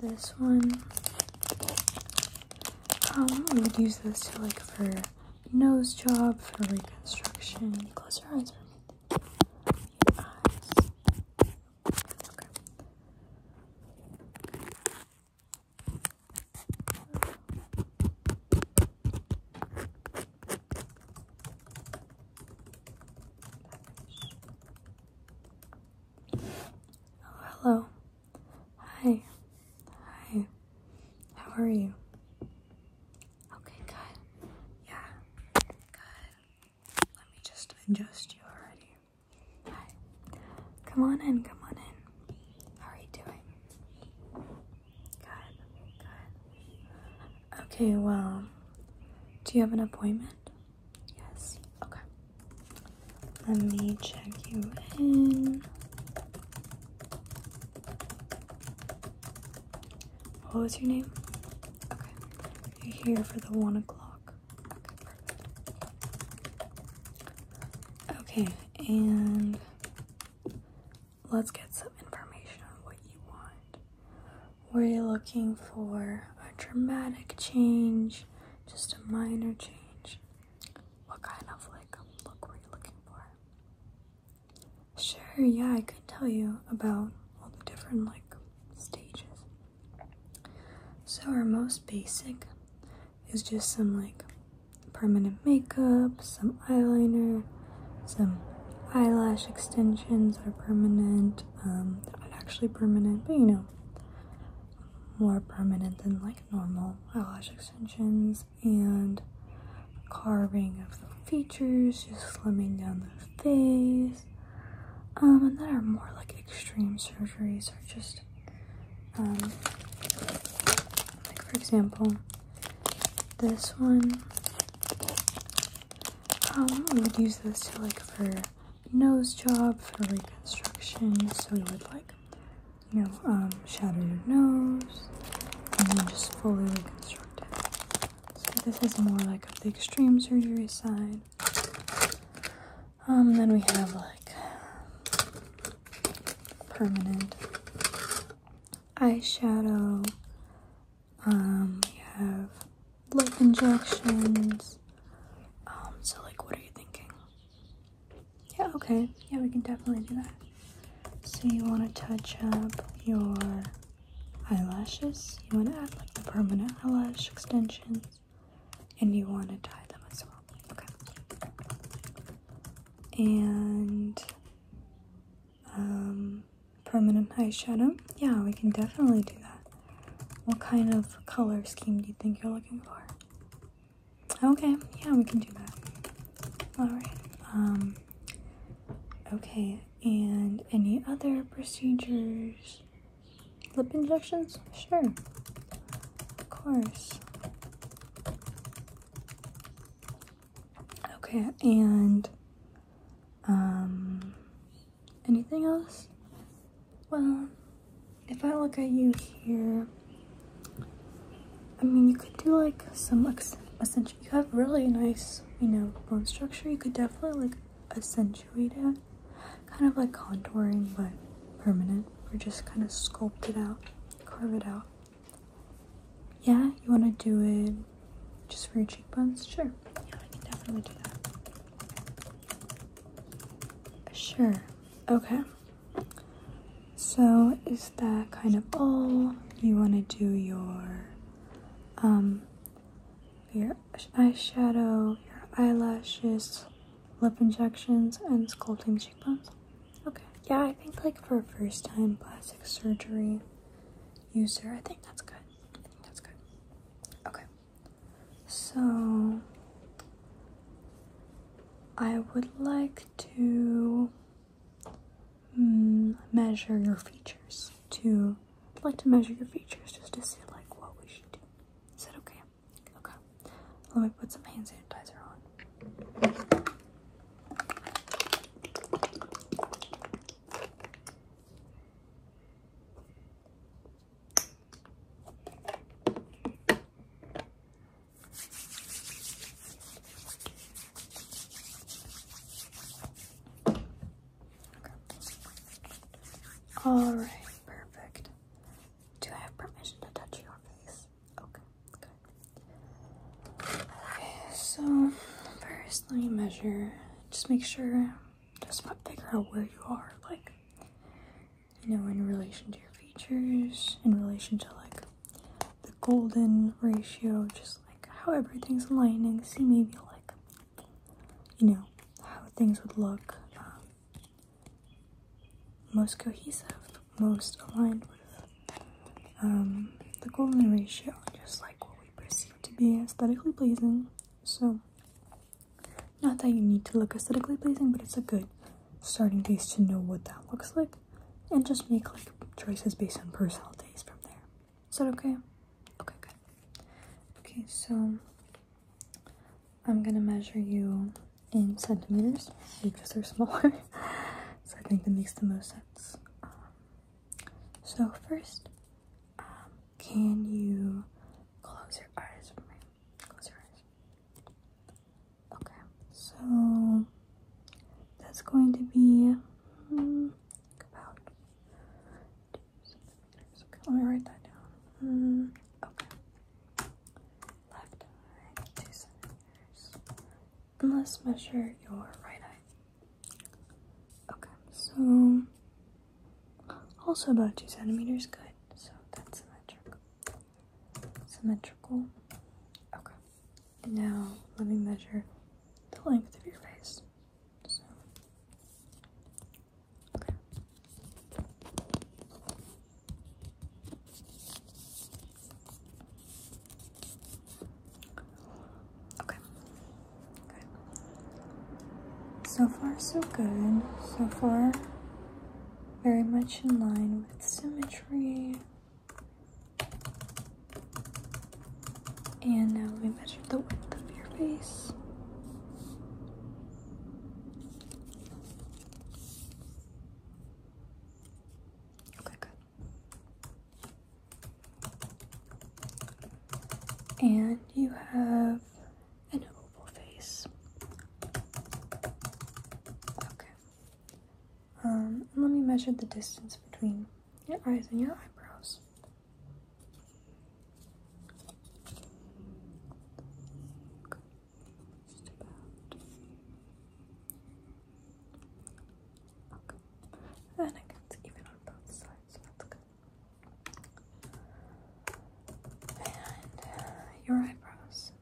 This one. I um, would use this to like for nose job, for reconstruction. Close your eyes for me. Oh, hello. Hi. Hi. How are you? Okay, good. Yeah. Good. Let me just adjust you already. Hi. Come on in. Come on in. How are you doing? Good. Good. Okay, well, do you have an appointment? Yes. Okay. Let me check you in. What was your name? Okay. You're here for the one o'clock. Okay, and let's get some information on what you want. Were you looking for a dramatic change? Just a minor change? What kind of like look were you looking for? Sure, yeah, I could tell you about all the different like stages. So our most basic is just some like permanent makeup, some eyeliner, some eyelash extensions are permanent, um, not actually permanent, but you know, more permanent than like normal eyelash extensions and carving of the features, just slimming down the face. Um, and then are more like extreme surgeries are just, um, like for example, this one um, we would use this to like for nose job, for reconstruction. So we would like, you know, um, shadow your nose and then just fully reconstruct it. So this is more like of the extreme surgery side. Um, then we have like permanent eyeshadow, um, we have lip injections. Um, so like what are you thinking? Yeah, okay. Yeah, we can definitely do that. So you want to touch up your eyelashes. You want to add like the permanent eyelash extensions. And you want to tie them as well. Okay. And um permanent eyeshadow. Yeah, we can definitely do that. What kind of color scheme do you think you're looking for? Okay, yeah, we can do that. Alright, um, okay, and any other procedures? Lip injections? Sure, of course. Okay, and, um, Anything else? Well, if I look at you here, I mean, you could do like some accent. You have really nice, you know, bone structure. You could definitely like accentuate it. Kind of like contouring, but permanent. Or just kind of sculpt it out, carve it out. Yeah, you want to do it just for your cheekbones? Sure. Yeah, I can definitely do that. Sure. Okay. So, is that kind of all? You want to do your um your eyeshadow, your eyelashes, lip injections, and sculpting cheekbones. Okay. Yeah, I think like for a first time plastic surgery user, I think that's good. That's good. Okay. So I would like to mm, measure your features. To like to measure your features just to see like what we should do. Is that okay? Okay. Let me put some hand sanitizer on. All right, perfect. Do I have permission to touch your face? Okay, good. Okay, so first let me measure. Just make sure just but figure out where you are, like you know, in relation to your features, in relation to like the golden ratio, just like how everything's aligning. See maybe like you know how things would look um, most cohesive, most aligned with um, the golden ratio, just like what we perceive to be aesthetically pleasing. So, not that you need to look aesthetically pleasing, but it's a good starting place to know what that looks like and just make like choices based on personal taste from there. Is that okay? Okay, good. Okay, so I'm gonna measure you in centimeters because they're smaller, so I think that makes the most sense. Um, so, first, um, can you close your eyes for me? Close your eyes. Okay, so that's going to be hmm, about. let me write that down. Hmm, okay. Left eye, two centimeters. And let's measure your right eye. Okay, so also about two centimeters, good. So that's symmetrical. Symmetrical. Okay. now let me measure the length of your face. So Okay. So far, so good. So far, very much in line with symmetry. And now we measure the width of your face. Okay, good and you have an oval face. Okay. Um, let me measure the distance between your eyes and your eyebrows. Okay. Just about. Okay. And I can even on both sides, uh, your eyebrows.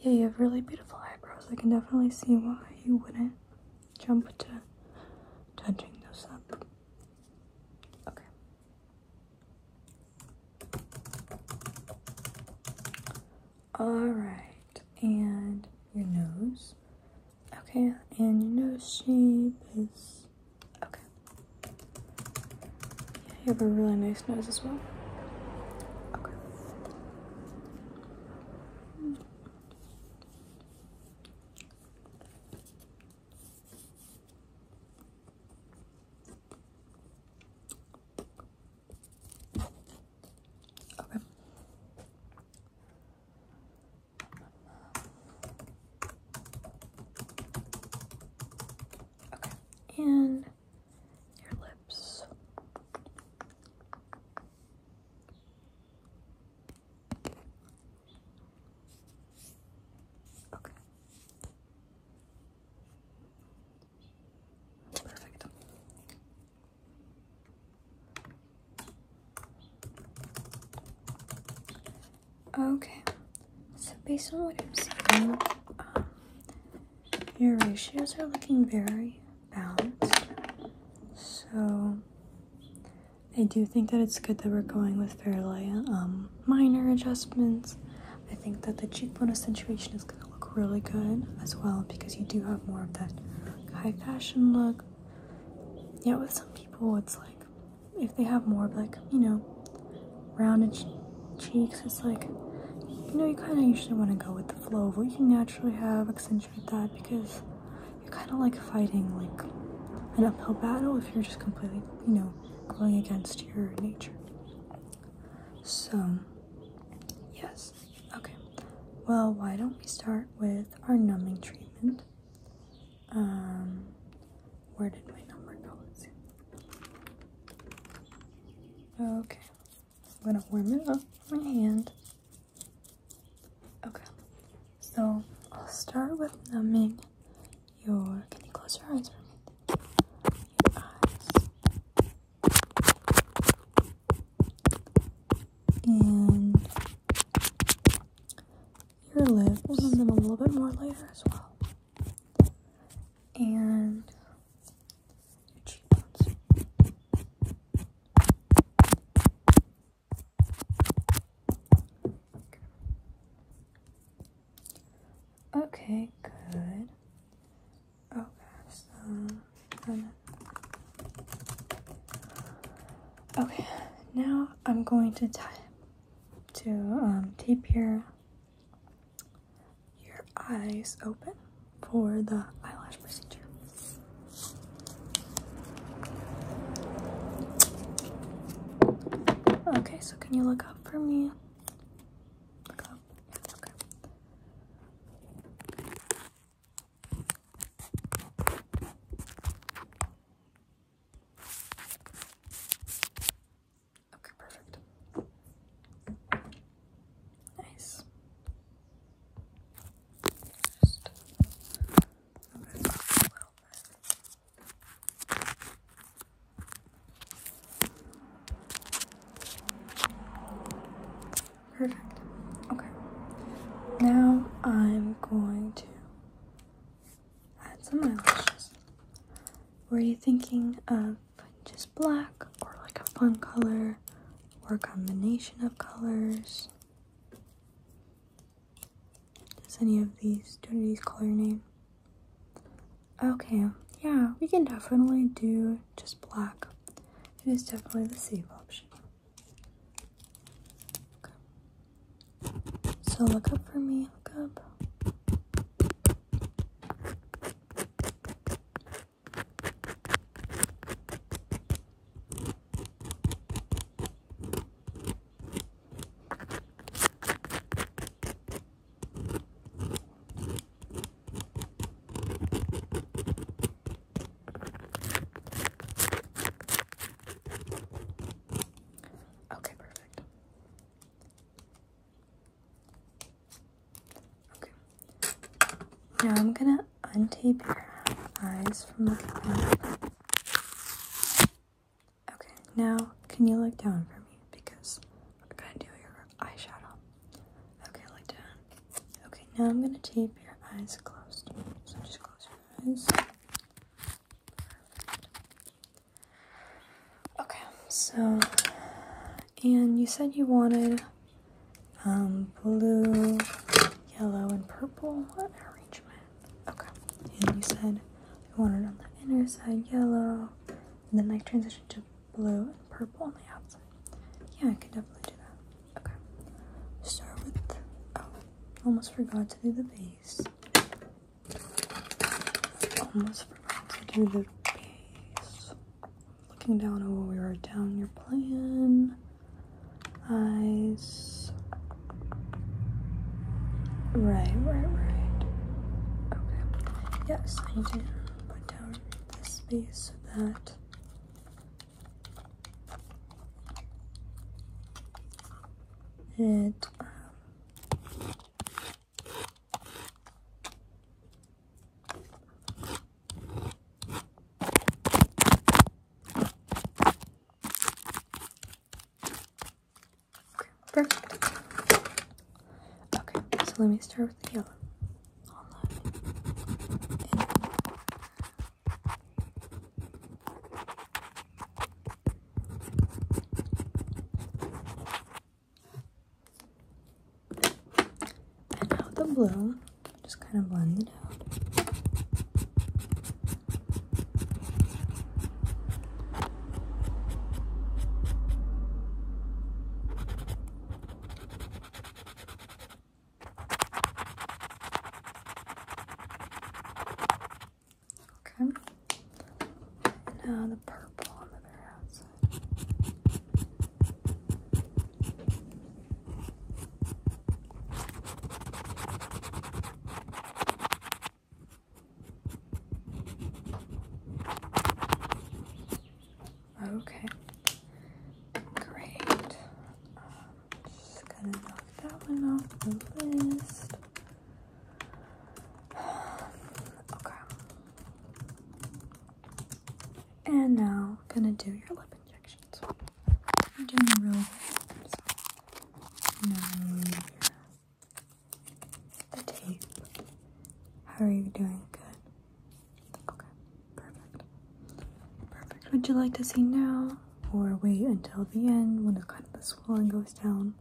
Yeah, you have really beautiful eyebrows. I can definitely see why you wouldn't jump to touching those up. Okay. Alright, and your nose. Okay, and your nose shape is okay. you have a really nice nose as well. Okay. Okay, and your lips. Okay. Perfect. Okay, so based on what I'm seeing, um, your ratios are looking very balanced. So I do think that it's good that we're going with fairly um, minor adjustments. I think that the cheekbone accentuation is going to look really good as well because you do have more of that high fashion look. Yeah, with some people, it's like if they have more like you know rounded cheeks it's like you know you kind of usually want to go with the flow of what you naturally have accentuate that because you're kind of like fighting like an uphill battle if you're just completely you know going against your nature so yes okay well why don't we start with our numbing treatment um, where did my number go? Let's see. Okay, I'm gonna warm it up with my hand. Okay, so I'll start with numbing your. Can you close your eyes for me? your lips, and them a little bit more later as well, and your cheekbones. Okay, good. Okay, oh, uh, so. Okay, now I'm going to tie to um, your your eyes open for the eyelash procedure. Okay, so can you look up for me? Okay, perfect. Nice. Perfect. Okay. Now I'm going to add some eyelashes. Were you thinking of just black or like a fun color or a combination of colors? Does any of these, do any of these call your name? Okay, yeah, we can definitely do just black. It is definitely the safe option. So look up for me. Look up. Okay, perfect. Okay. Now I'm gonna untape your eyes from looking up. Okay, now can you look down for me? Because I'm gonna do your eyeshadow. Okay, look down. Okay, now I'm gonna tape your eyes closed. So just close your eyes. Okay, so, and you said you wanted um, blue, yellow, and purple arrangement. Okay, and you said you wanted on the inner side yellow, and then like transition to blue and purple on the outside. Yeah, I can definitely do that. Okay, start with, oh, Almost forgot to do the base. Almost forgot to do the base. Looking down at what we wrote down, your plan. Eyes. Right, right, right. Okay. Yes, I did put down this space so that that Okay, Okay, so let me start with the yellow. And now the blue, just kind of blend it out. Okay. Now the purple on the outside. Okay, great. Just gonna knock that one off the list. Okay. And now gonna do your lip injections. I'm doing a real good. So now the tape. How are you doing? Good. Okay. Perfect. Perfect. Would you like to see now? or wait until the end when the kind of the swelling goes down.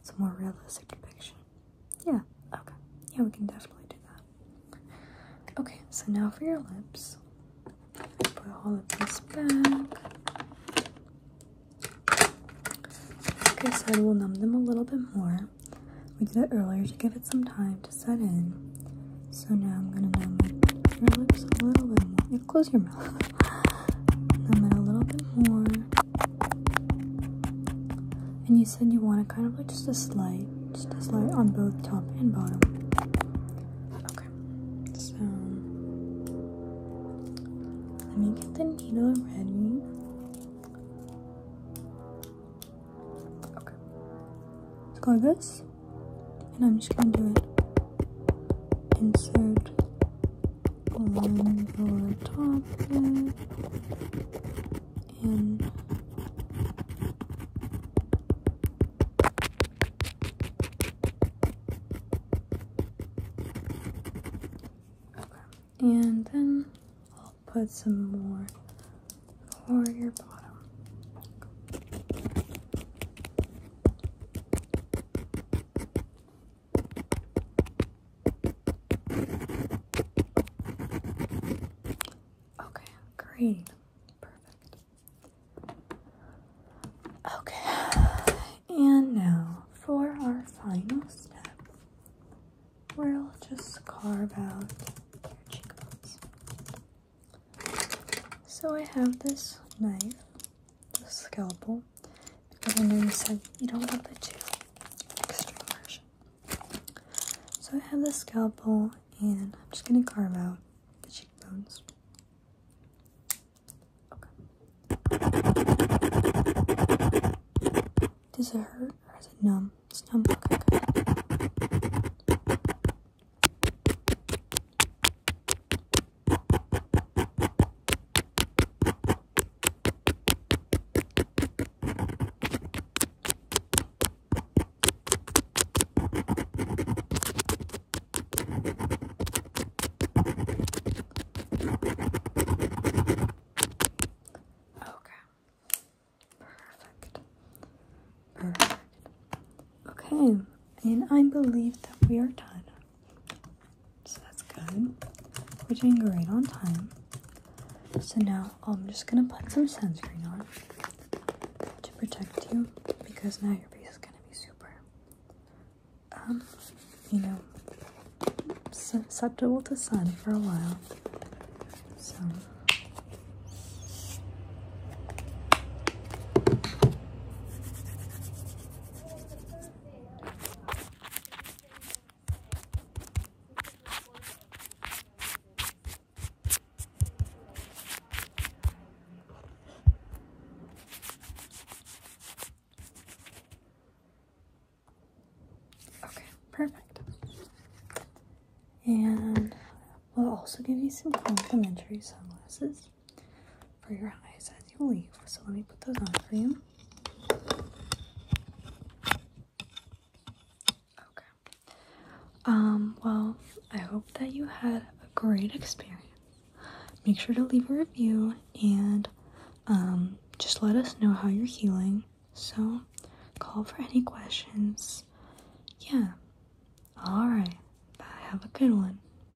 It's a more realistic depiction. Yeah, okay. Yeah, we can definitely do that. Okay, so now for your lips. Put all of this back. Like I said, we'll numb them a little bit more. We did it earlier to give it some time to set in. So now I'm gonna numb your lips a little bit more close your mouth. And a little bit more. And you said you want it kind of like just a slight, just a slight on both top and bottom. Okay, so let me get the needle ready. Okay, let's go like this, and I'm just gonna do it insert one lower top there and and then I'll put some more for your bottom. Okay, great. Perfect. Okay, and now for our final step, we'll just carve out cheekbones. So I have this knife the scalpel because I know you said you don't want the two extra version. So I have the scalpel and I'm just gonna carve out the cheekbones. Does it hurt or is it numb? It's numb. Okay, Perfect. Perfect. Okay, and I believe that we are done. So that's good. We're doing great on time. So now oh, I'm just gonna put some sunscreen on to protect you because now your face is gonna be super, um, you know, susceptible to sun for a while. So. Okay, perfect. And we'll also give you some complimentary sunglasses for your eyes as you leave. So let me put those on for you. Okay. Um, well, I hope that you had a great experience. Make sure to leave a review and um, just let us know how you're healing. So, call for any questions. Yeah. Alright. Have a good one.